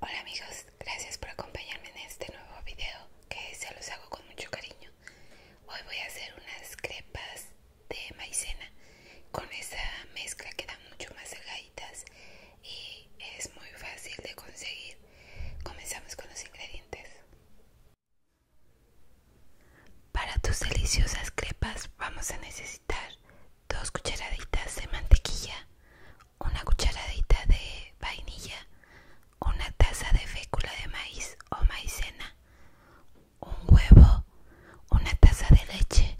Hola amigos, gracias por acompañarme en este nuevo video que se los hago con mucho cariño. Hoy voy a hacer unas crepas de maicena con esa mezcla que da mucho más delgaditas y es muy fácil de conseguir. Comenzamos con los ingredientes. Para tus deliciosas crepas vamos a necesitar dos cucharaditas de mantequilla, una cucharadita de vainilla, una taza de fécula de maíz o maicena, un huevo, una taza de leche,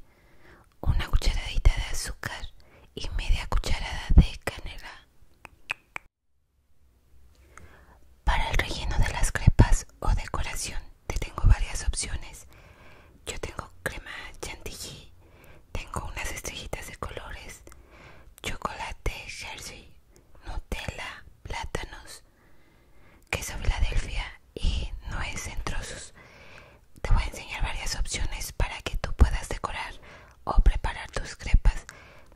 una cucharadita de azúcar y media cucharada de canela. Para el relleno de las crepas o decoración te tengo varias opciones. Yo tengo crema chantilly, tengo unas estrellitas de colores, chocolate jersey, Nutella, plátanos, queso delfia y nueces en trozos. Te voy a enseñar varias opciones para que tú puedas decorar o preparar tus crepas.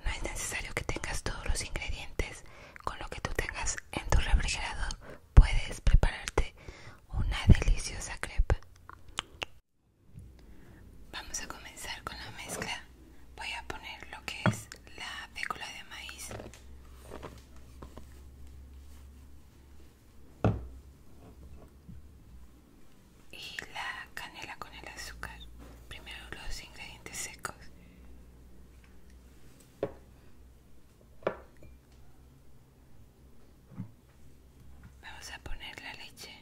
No es necesario que tengas todos los ingredientes. Con lo que tú tengas en tu refrigerador puedes prepararte una deliciosa crepa. Vamos a comenzar con la mezcla. Voy a poner lo que es la fécula de maíz y la canela con el azúcar. Primero los ingredientes secos. Vamos a poner la leche.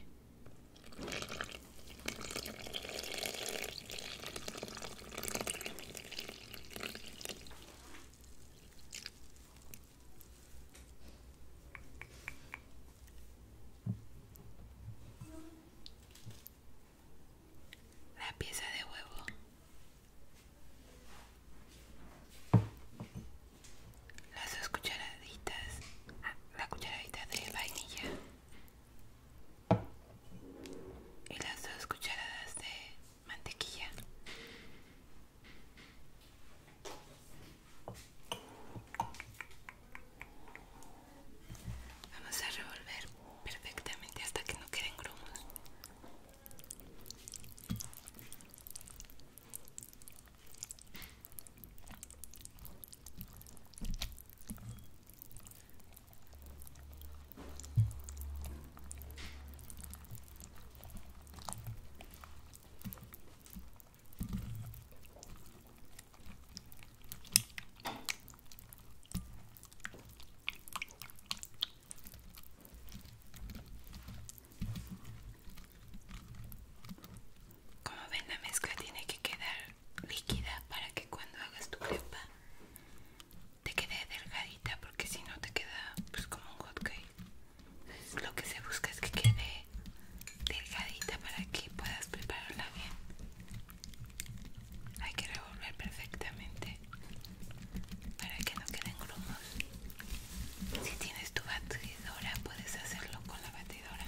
La pieza de huevo. Las dos cucharaditas. Ah, la cucharadita de vainilla. Y las dos cucharadas de mantequilla. Vamos a revolver perfectamente hasta que no queden grumos. Como ven, la mezcla tiene que quedar líquida para que cuando hagas tu crepa te quede delgadita, porque si no te queda pues como un hot lo que se busca es que quede delgadita para que puedas prepararla bien. Hay que revolver perfectamente para que no queden grumos. Si tienes tu batidora, puedes hacerlo con la batidora.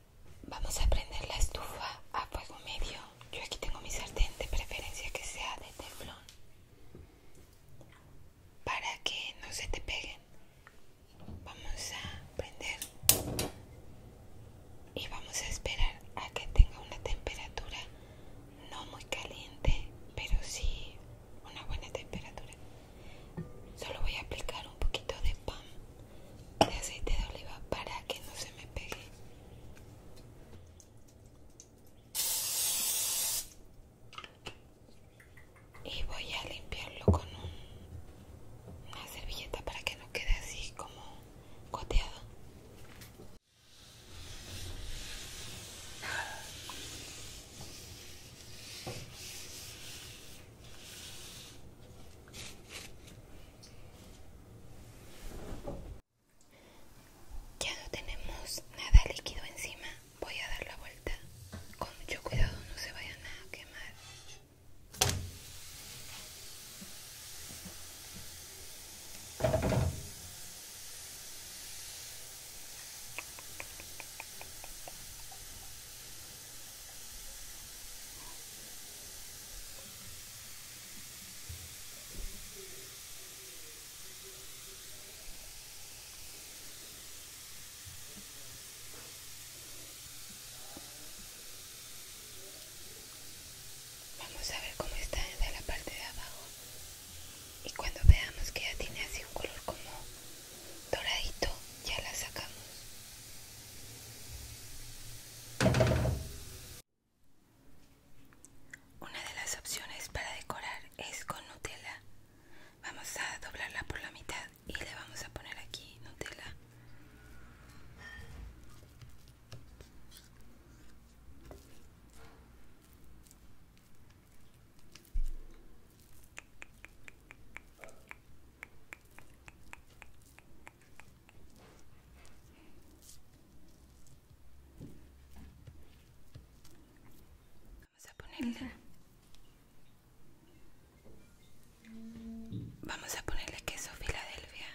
Vamos a prender la estufa a fuego medio. Yo aquí tengo mi sartén de preferencia que sea de teflón para que no se te peguen. Vamos a prender y vamos a esperar a que tenga una temperatura no muy caliente, pero sí una buena temperatura. Solo voy a aplicar un poquito de pan de aceite de oliva para que no se me pegue. Y voy a limpiarlo con una servilleta para que no quede así como goteado. Ya no tenemos nada líquido encima. Voy a dar la vuelta. Con mucho cuidado no se vaya nada a quemar. Vamos a ver cómo está desde la parte de abajo y cuando veamos que ya tiene así un color como doradito ya la sacamos una de las opciones para decorar es con Nutella. Vamos a doblarla por la mitad y le vamos a poner aquí Nutella. Vamos a ponerle. Vamos a ponerle queso Filadelfia.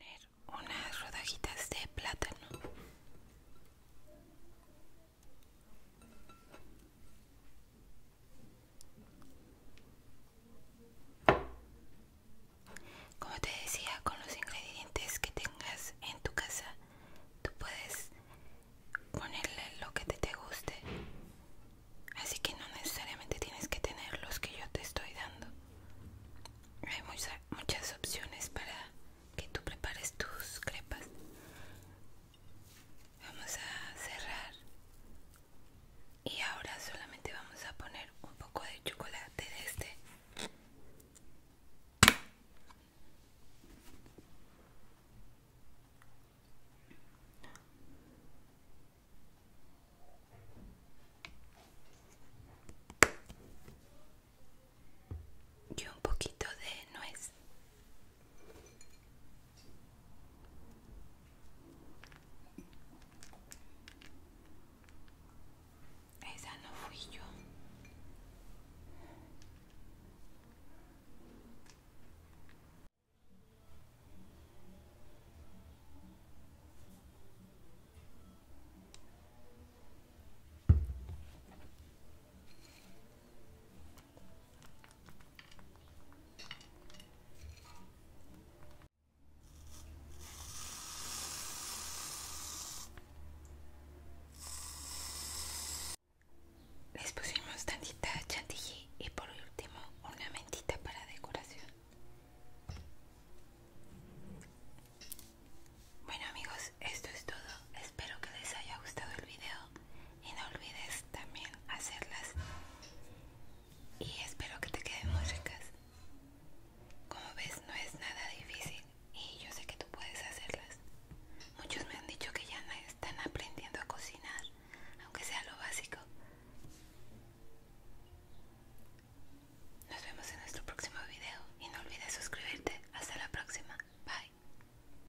Poner unas rodajitas de plátano. Como te decía, con los ingredientes que tengas en tu casa tú puedes ponerle lo que te, te guste. Así que no necesariamente tienes que tener los que yo te estoy dando. Hay muchas opciones para que tú prepares tus crepas. Vamos a cerrar. Y ahora solamente vamos a poner un poco de chocolate de este y un poquito de nuez esa no fui yo. Les pusimos tantita chantilly y por último una mentita para decoración. Bueno amigos, esto es todo. Espero que les haya gustado el video y no olvides también hacerlas. Y espero que te queden muy ricas. Como ves, no es nada difícil y yo sé que tú puedes hacerlas. Muchos me han dicho que ya están aprendiendo a cocinar, aunque sea lo básico. Nos vemos en nuestro próximo video y no olvides suscribirte. Hasta la próxima. Bye.